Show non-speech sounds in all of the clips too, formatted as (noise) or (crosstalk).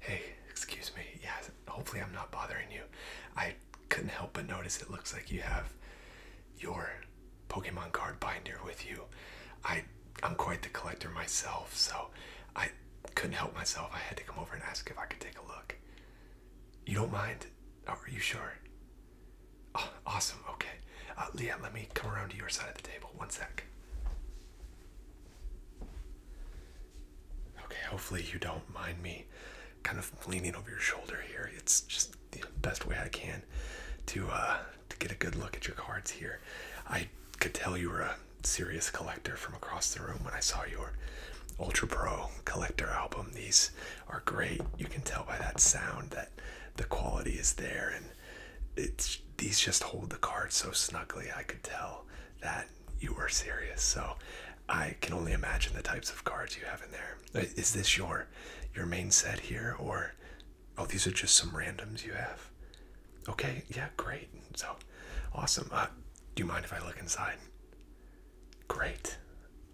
Hey, excuse me. Yeah, hopefully I'm not bothering you. I couldn't help but notice it looks like you have your Pokemon card binder with you. I I'm quite the collector myself, so I couldn't help myself. I had to come over and ask if I could take a look. You don't mind? Oh, are you sure? Oh, awesome. Okay. Uh, Leah, let me come around to your side of the table. One sec. Okay, hopefully you don't mind me kind of leaning over your shoulder here. It's just the best way I can to uh, to get a good look at your cards here. I could tell you were a serious collector from across the room when I saw your Ultra Pro collector album. These are great. You can tell by that sound that the quality is there and it's these just hold the cards so snugly. I could tell that you are serious. So I can only imagine the types of cards you have in there. Uh, is this your your main set here or oh these are just some randoms you have? Okay, yeah, great. So awesome. Uh, do you mind if I look inside? Great.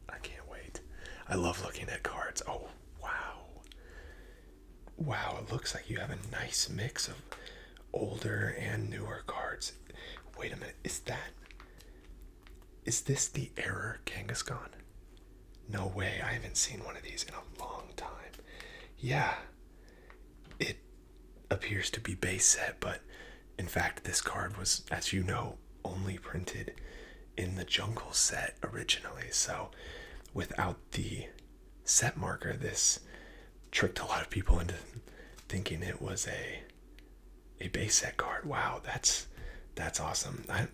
I can't wait. I love looking at cards. Oh wow. Wow, it looks like you have a nice mix of older and newer cards. Wait a minute, is that. Is this the error Kangaskhan? No way, I haven't seen one of these in a long time. Yeah, it appears to be base set, but in fact, this card was, as you know, only printed in the jungle set originally. So without the set marker, this tricked a lot of people into thinking it was a a base set card. Wow, that's that's awesome. I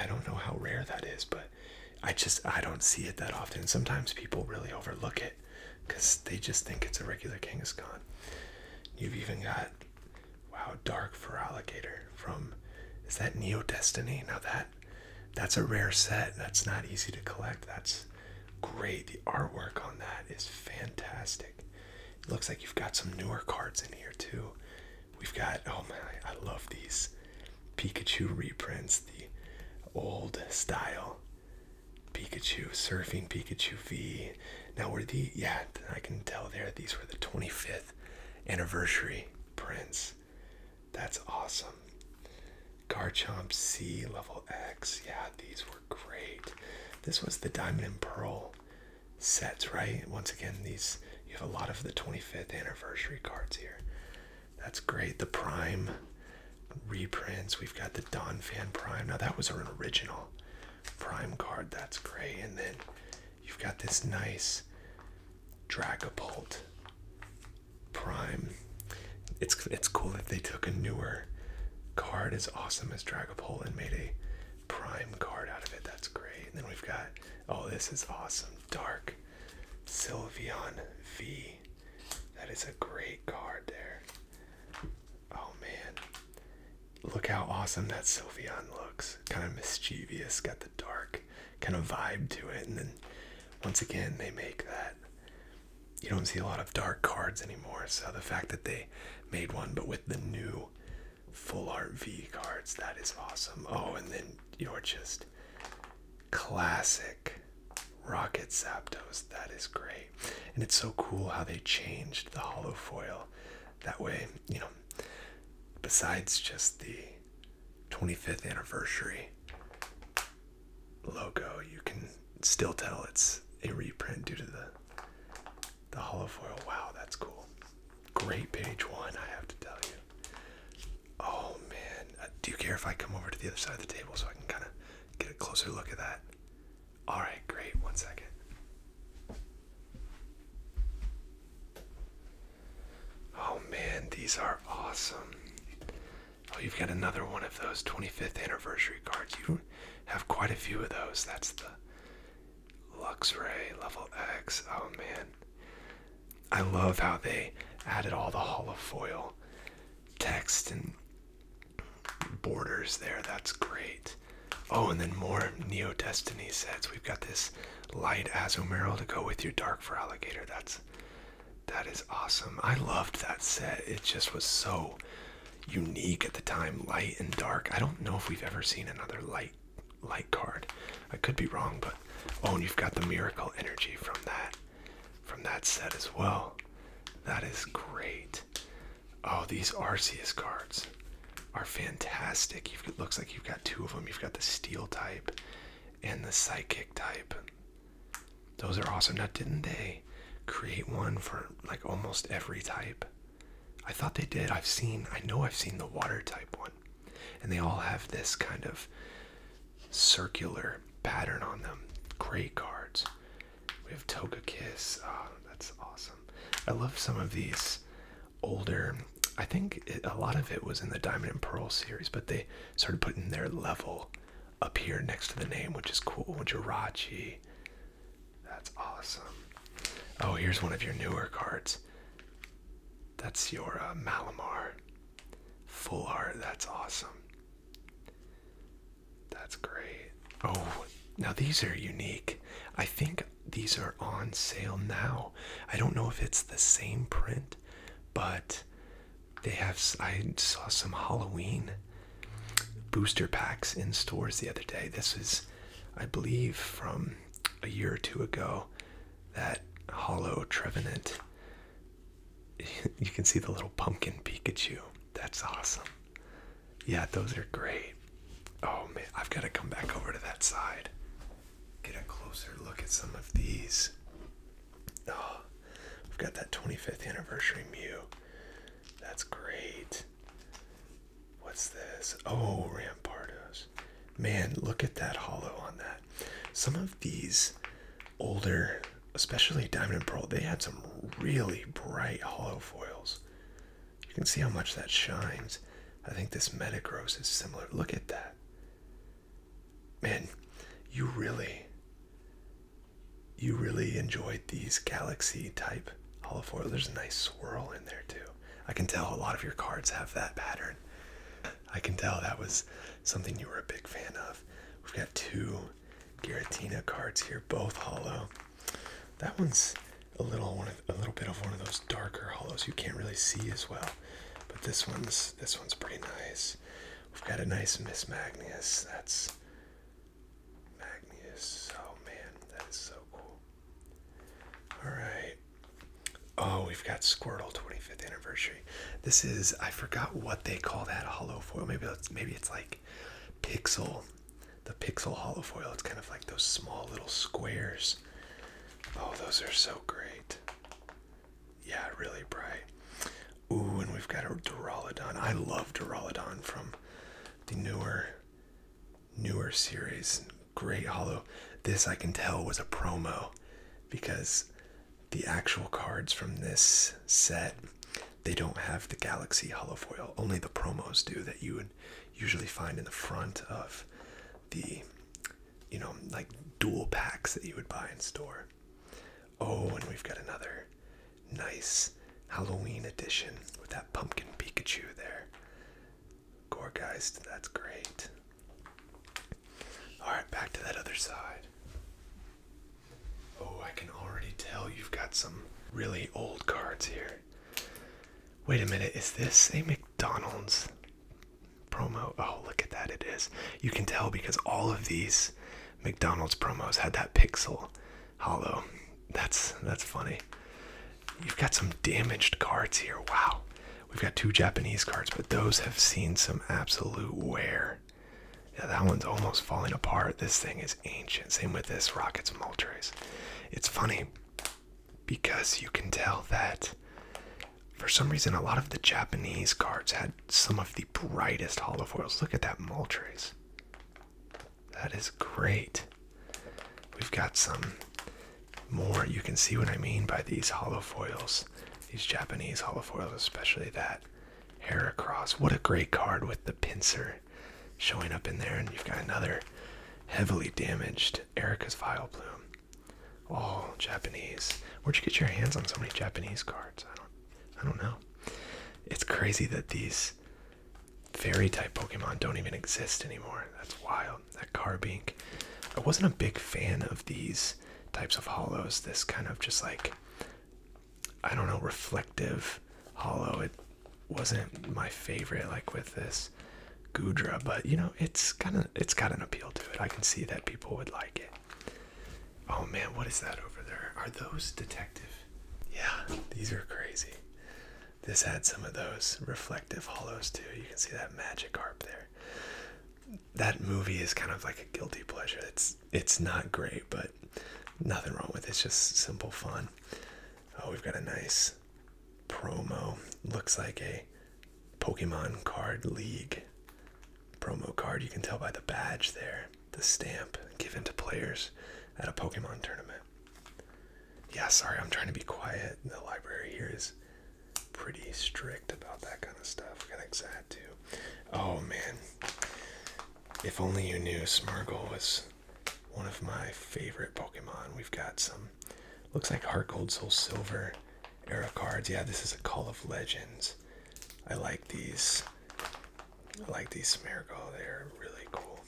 I don't know how rare that is, but I just I don't see it that often. Sometimes people really overlook it because they just think it's a regular King of Kangaskhan. You've even got wow, Dark for Alligator from is that Neo Destiny? Now that that's a rare set. That's not easy to collect. That's great. The artwork on that is fantastic. It looks like you've got some newer cards in here too. We've got oh my, I love these Pikachu reprints, the old style Pikachu surfing Pikachu V. Now were the yeah, I can tell there these were the 25th anniversary prints. That's awesome. Garchomp C level X. Yeah, these were great. This was the Diamond and Pearl sets, right? Once again, these you have a lot of the 25th anniversary cards here. That's great. The Prime reprints. We've got the Dawn Fan Prime. Now that was an original Prime card. That's great. And then you've got this nice Dragapult Prime. It's it's cool that they took a newer card as awesome as Dragopol and made a prime card out of it. That's great. then we've got oh this is awesome. Dark Sylveon V. That is a great card there. Oh man. Look how awesome that Sylveon looks. Kind of mischievous, got the dark kind of vibe to it. And then once again they make that you don't see a lot of dark cards anymore. So the fact that they made one, but with the new full art V cards, that is awesome. Oh, and then you're just classic Rocket Saptos. That is great. And it's so cool how they changed the hollow foil. That way, you know, besides just the 25th anniversary logo, you can still tell it's a reprint due to the the hollow foil. Wow, that's cool. Great page one, I have to tell you. Oh man, uh, do you care if I come over to the other side of the table so I can kind of get a closer look at that? All right, great. One second. Oh man, these are awesome. Oh, you've got another one of those 25th anniversary cards. You have quite a few of those. That's the Luxray level X. Oh man. I love how they added all the hollow foil text and borders there. That's great. Oh, and then more Neo Destiny sets. We've got this light Azumarill to go with your dark for alligator. That's that is awesome. I loved that set. It just was so unique at the time, light and dark. I don't know if we've ever seen another light light card. I could be wrong, but oh, and you've got the miracle energy from that from that set as well. That is great. Oh, these Arceus cards are fantastic. it looks like you've got two of them. You've got the steel type and the psychic type. Those are awesome. Now, didn't they create one for like almost every type? I thought they did. I've seen, I know I've seen the water type one. And they all have this kind of circular pattern on them. Great cards. We have Togekiss. Kiss. Ah, that's awesome. I love some of these older. I think a lot of it was in the Diamond and Pearl series, but they started putting their level up here next to the name, which is cool. Jirachi. That's awesome. Oh, here's one of your newer cards. That's your uh, Malamar. Full art. That's awesome. That's great. Oh, now these are unique. I think these are on sale now. I don't know if it's the same print, but they have, I saw some Halloween booster packs in stores the other day. This is, I believe, from a year or two ago. That Hollow Trevenant. (laughs) You can see the little pumpkin Pikachu. That's awesome. Yeah, those are great. Oh man, I've got to come back over to that side. Get a closer look at some of these. Oh, we've got that 25th anniversary Mew. That's great. What's this? Oh, Rampardos. Man, look at that hollow on that. Some of these older, especially Diamond Pearl, they had some really bright hollow foils. You can see how much that shines. I think this Metagross is similar. Look at that. Man, you really you really enjoyed these galaxy type holofoil. There's a nice swirl in there too. I can tell a lot of your cards have that pattern. I can tell that was something you were a big fan of. We've got two Giratina cards here, both hollow. That one's a little one a little bit of one of those darker hollows you can't really see as well. But this one's this one's pretty nice. We've got a nice Miss Magnus. That's Magnus. Oh man, that is so cool. Alright. Oh, we've got Squirtle 25th anniversary. This is I forgot what they call that hollow foil. Maybe that's maybe it's like pixel. The pixel hollow foil. It's kind of like those small little squares. Oh, those are so great. Yeah, really bright. Ooh, and we've got a Duraludon. I love Duraludon from the newer newer series. Great hollow. This I can tell was a promo because the actual cards from this set they don't have the galaxy hollow foil. Only the promos do that you would usually find in the front of the you know like dual packs that you would buy in store. Oh, and we've got another nice Halloween edition with that pumpkin Pikachu there. Gorgeist, that's great. Alright, back to that other side. Oh, I can already tell you've got some really old cards here. Wait a minute, is this a McDonald's promo? Oh, look at that, it is. You can tell because all of these McDonald's promos had that pixel hollow. That's that's funny. You've got some damaged cards here. Wow. We've got two Japanese cards, but those have seen some absolute wear. Yeah, that one's almost falling apart. This thing is ancient. Same with this Rockets Moltres. It's funny because you can tell that for some reason a lot of the Japanese cards had some of the brightest olive oils. Look at that Moltres. That is great. We've got some more. You can see what I mean by these hollow foils, these Japanese hollow foils, especially that Cross. What a great card with the pincer showing up in there. And you've got another heavily damaged Erica's Vile Plume. All Japanese. Where'd you get your hands on so many Japanese cards? I don't know. It's crazy that these fairy type Pokemon don't even exist anymore. That's wild. That Carbink. I wasn't a big fan of these types of hollows. This kind of just like, I don't know, reflective hollow. It wasn't my favorite, like with this Gudra, but you know, it's kind of, it's got an appeal to it. I can see that people would like it. Oh man, what is that over there? Are those detective? Yeah, these are crazy. This had some of those reflective hollows too. You can see that magic harp there. That movie is kind of like a guilty pleasure. It's it's not great, but nothing wrong with it. It's just simple fun. Oh, we've got a nice promo. Looks like a Pokemon card league promo card. You can tell by the badge there, the stamp given to players at a Pokemon tournament. Yeah, sorry, I'm trying to be quiet. The library here is pretty strict about that kind of stuff. We got Exat too. Oh man, if only you knew Smirgle was one of my favorite Pokemon. We've got some, looks like Heart Gold, Soul Silver, era cards. Yeah, this is a Call of Legends. I like these. I like these Smeargle. They're really cool.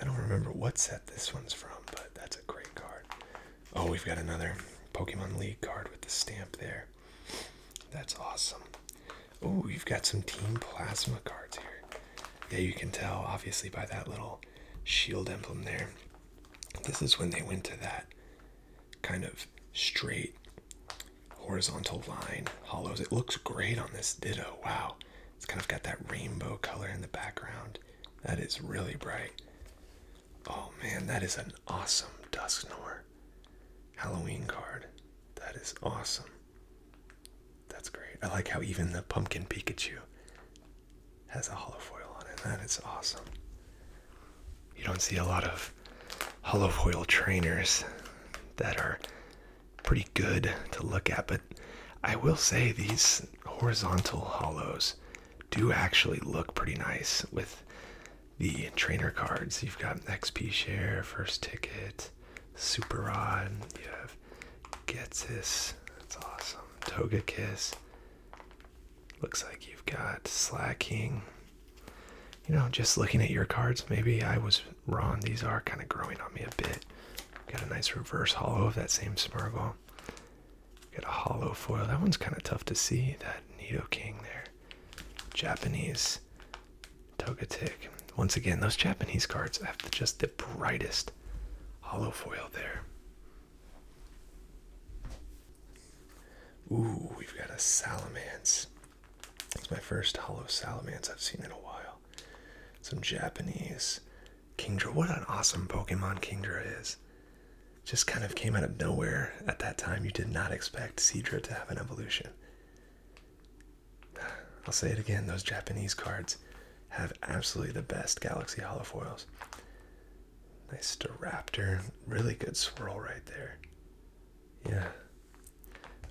I don't remember what set this one's from, but that's a great card. Oh, we've got another Pokemon League card with the stamp there. That's awesome. Oh, we have got some Team Plasma cards here. Yeah, you can tell, obviously, by that little shield emblem there. This is when they went to that kind of straight horizontal line hollows. It looks great on this Ditto. Wow. It's kind of got that rainbow color in the background. That is really bright. Oh man, that is an awesome Dusknoir Halloween card. That is awesome. That's great. I like how even the Pumpkin Pikachu has a hollow foil on it. That is awesome. You don't see a lot of hollow foil trainers that are pretty good to look at, but I will say these horizontal hollows do actually look pretty nice with the trainer cards. You've got XP Share, First Ticket, Super Rod, you have Getsis, that's awesome, Toga Kiss. Looks like you've got slacking. You know, just looking at your cards, maybe I was wrong. These are kind of growing on me a bit. Got a nice reverse hollow of that same Smirgle. Got a hollow foil. That one's kind of tough to see. That Nito King there. Japanese Togetic. Once again, those Japanese cards have just the brightest hollow foil there. Ooh, we've got a Salamance. It's my first hollow Salamance I've seen in a while. Some Japanese. Kingdra, what an awesome Pokemon Kingdra is. Just kind of came out of nowhere at that time. You did not expect Seedra to have an evolution. I'll say it again, those Japanese cards have absolutely the best Galaxy Hollow foils. Nice Staraptor. Really good swirl right there. Yeah.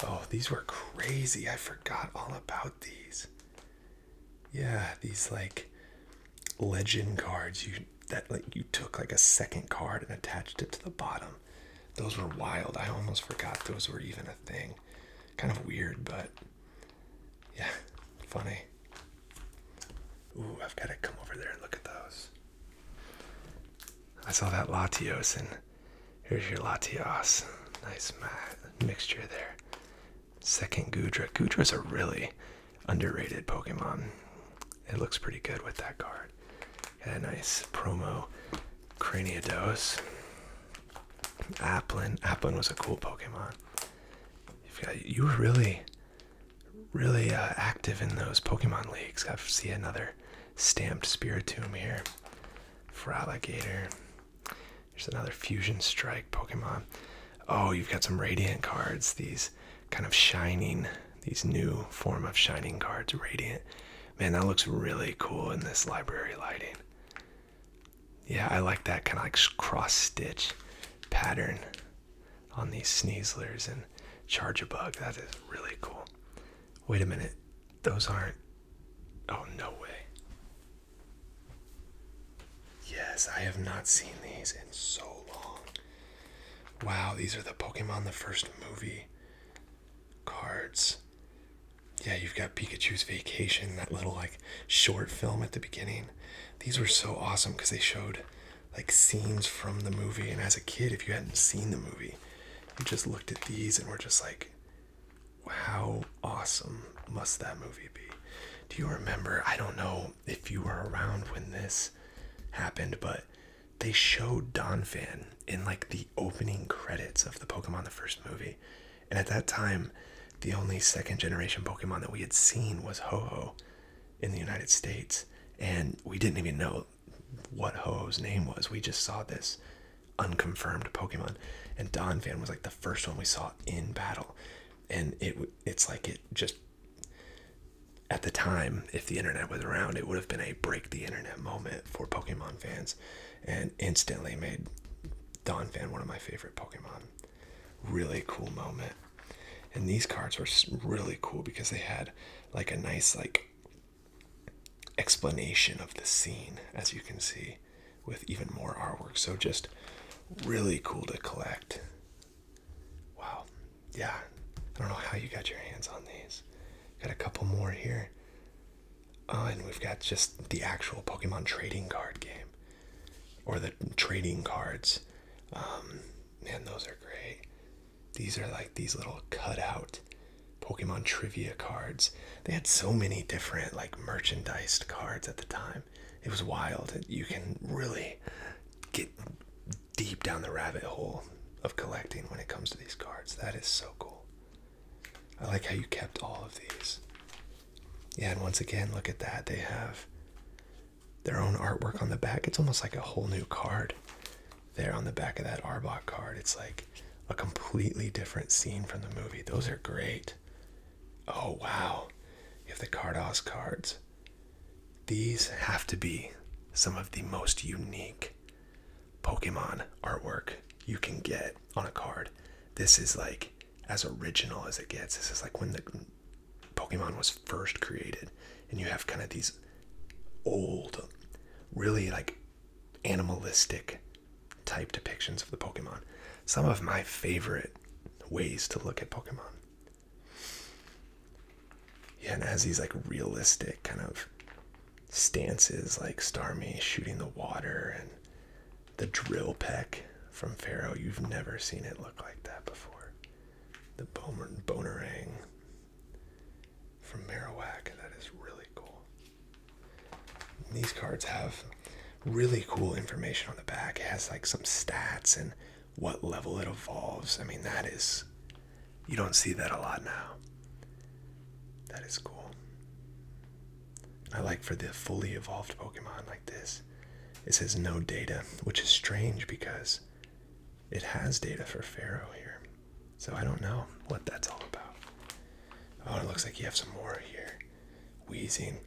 Oh, these were crazy. I forgot all about these. Yeah, these like legend cards you that like you took like a second card and attached it to the bottom. Those were wild. I almost forgot those were even a thing. Kind of weird, but yeah, funny. Ooh, I've got to come over there and look at those. I saw that Latios, and here's your Latios. Nice mixture there. Second Gudra. is a really underrated Pokemon. It looks pretty good with that card. Got a nice promo Craniados. Applin. Applin was a cool Pokemon. you you were really really uh, active in those Pokemon leagues. I see another stamped Spiritomb here. for Alligator. There's another Fusion Strike Pokemon. Oh, you've got some Radiant cards. These kind of shining, these new form of shining cards, Radiant. Man, that looks really cool in this library lighting. Yeah, I like that kind of like cross stitch pattern on these sneezlers and charge a bug. That is really cool. Wait a minute. Those aren't. Oh, no way. Yes, I have not seen these in so long. Wow, these are the Pokemon the first movie cards. Yeah, you've got Pikachu's Vacation, that little like short film at the beginning. These were so awesome because they showed like scenes from the movie. And as a kid, if you hadn't seen the movie, you just looked at these and were just like, how awesome must that movie be? Do you remember? I don't know if you were around when this happened, but they showed Donphan in like the opening credits of the Pokemon the first movie. And at that time, the only second generation Pokemon that we had seen was ho Ho in the United States, and we didn't even know what Ho's name was. We just saw this unconfirmed Pokemon, and Don Fan was like the first one we saw in battle, and it it's like it just at the time, if the internet was around, it would have been a break the internet moment for Pokemon fans, and instantly made Don Fan one of my favorite Pokemon. Really cool moment. And these cards were really cool because they had like a nice like explanation of the scene, as you can see, with even more artwork. So just really cool to collect. Wow. Yeah. I don't know how you got your hands on these. Got a couple more here. Uh, and we've got just the actual Pokemon trading card game or the trading cards um, man, those are great. These are like these little cutout Pokemon trivia cards. They had so many different like merchandised cards at the time. It was wild. You can really get deep down the rabbit hole of collecting when it comes to these cards. That is so cool. I like how you kept all of these. Yeah, and once again, look at that. They have their own artwork on the back. It's almost like a whole new card there on the back of that Arbok card. It's like a completely different scene from the movie. Those are great. Oh, wow. You have the Cardos cards. These have to be some of the most unique Pokemon artwork you can get on a card. This is like as original as it gets. This is like when the Pokemon was first created, and you have kind of these old, really like animalistic type depictions of the Pokemon. Some of my favorite ways to look at Pokemon. Yeah, and it has these like realistic kind of stances like Starmie shooting the water and the drill peck from Pharaoh. You've never seen it look like that before the Boner Bonerang from Marowak. That is really cool. these cards have really cool information on the back. It has like some stats and what level it evolves. I mean, that is you don't see that a lot now. That is cool. I like for the fully evolved Pokemon like this. It says no data, which is strange because it has data for Pharaoh here. So I don't know what that's all about. Oh, it looks like you have some more here. Wheezing.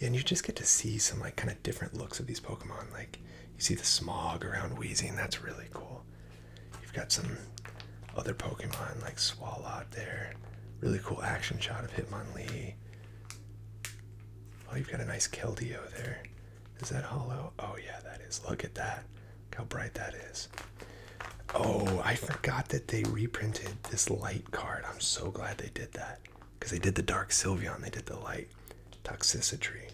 and you just get to see some like kind of different looks of these Pokemon. Like you see the smog around Wheezing. That's really cool. You've got some other Pokemon like Swalot there. Really cool action shot of Hitmonlee. Oh, you've got a nice Keldeo there. Is that hollow? Oh yeah, that is. Look at that. Look how bright that is. Oh, I forgot that they reprinted this light card. I'm so glad they did that. Because they did the Dark Sylveon, they did the light. Toxicity.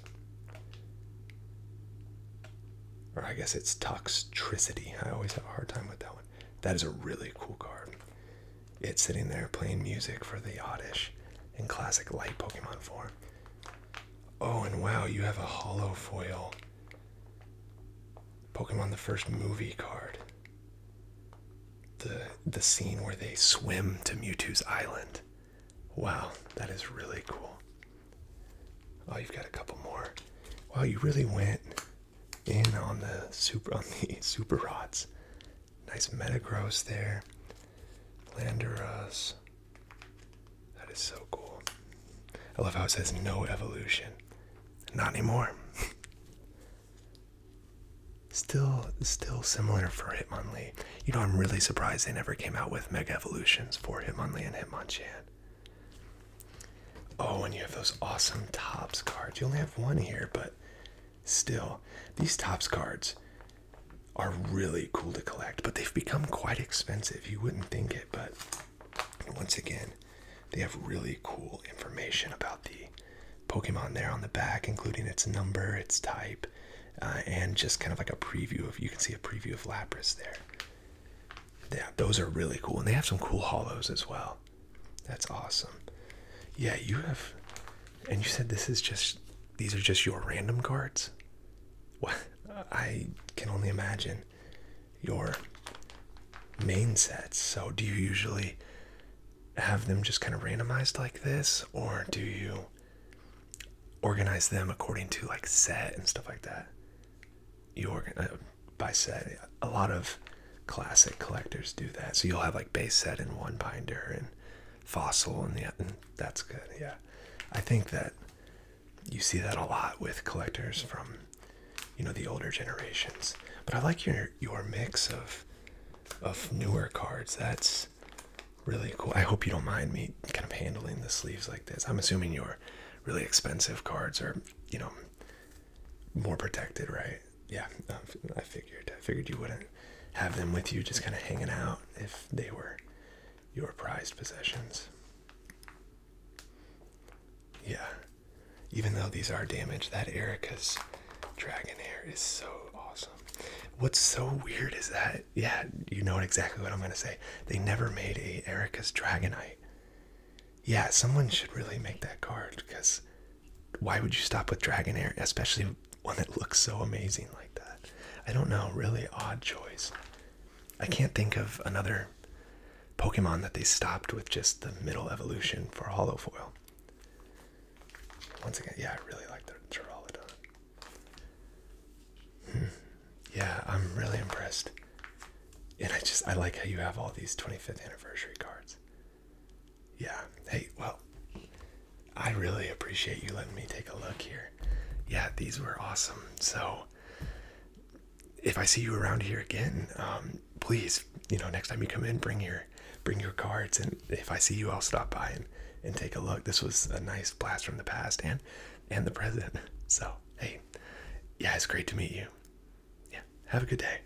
Or I guess it's Toxicity. I always have a hard time with that one. That is a really cool card. It's sitting there playing music for the Oddish in classic light Pokemon form. Oh, and wow, you have a hollow foil Pokemon the first movie card. The the scene where they swim to Mewtwo's island. Wow, that is really cool. Oh, you've got a couple more. Wow, you really went in on the super on the (laughs) super rods. Nice Metagross there. Landorus. That is so cool. I love how it says no evolution. Not anymore. (laughs) still still similar for Hitmonlee. You know, I'm really surprised they never came out with mega evolutions for Hitmonlee and Hitmonchan. Oh, and you have those awesome tops cards. You only have one here, but Still, these tops cards are really cool to collect, but they've become quite expensive. You wouldn't think it, but once again, they have really cool information about the Pokemon there on the back, including its number, its type, uh, and just kind of like a preview of you can see a preview of Lapras there. Yeah, those are really cool, and they have some cool hollows as well. That's awesome. Yeah, you have and you said this is just these are just your random cards? What I can only imagine your main sets. So do you usually have them just kind of randomized like this or do you organize them according to like set and stuff like that? You organize uh, by set. A lot of classic collectors do that. So you'll have like base set in one binder and fossil and that's good yeah i think that you see that a lot with collectors from you know the older generations but i like your your mix of of newer cards that's really cool i hope you don't mind me kind of handling the sleeves like this i'm assuming your really expensive cards are you know more protected right yeah i figured i figured you wouldn't have them with you just kind of hanging out if they were your prized possessions. Yeah. Even though these are damaged, that Erica's dragon hair is so awesome. What's so weird is that, yeah, you know exactly what I'm going to say. They never made a Erica's Dragonite. Yeah, someone should really make that card because why would you stop with dragon Dragonair, especially one that looks so amazing like that. I don't know, really odd choice. I can't think of another Pokemon that they stopped with just the middle evolution for Hollow Foil. Once again, yeah, I really like the Duraludon. Hmm. Yeah, I'm really impressed. And I just, I like how you have all these 25th anniversary cards. Yeah. Hey, well, I really appreciate you letting me take a look here. Yeah, these were awesome. So if I see you around here again, um, please, you know, next time you come in, bring your bring your cards and if I see you I'll stop by and, and take a look. This was a nice blast from the past and and the present. (laughs) So hey, yeah, it's great to meet you. Yeah, have a good day.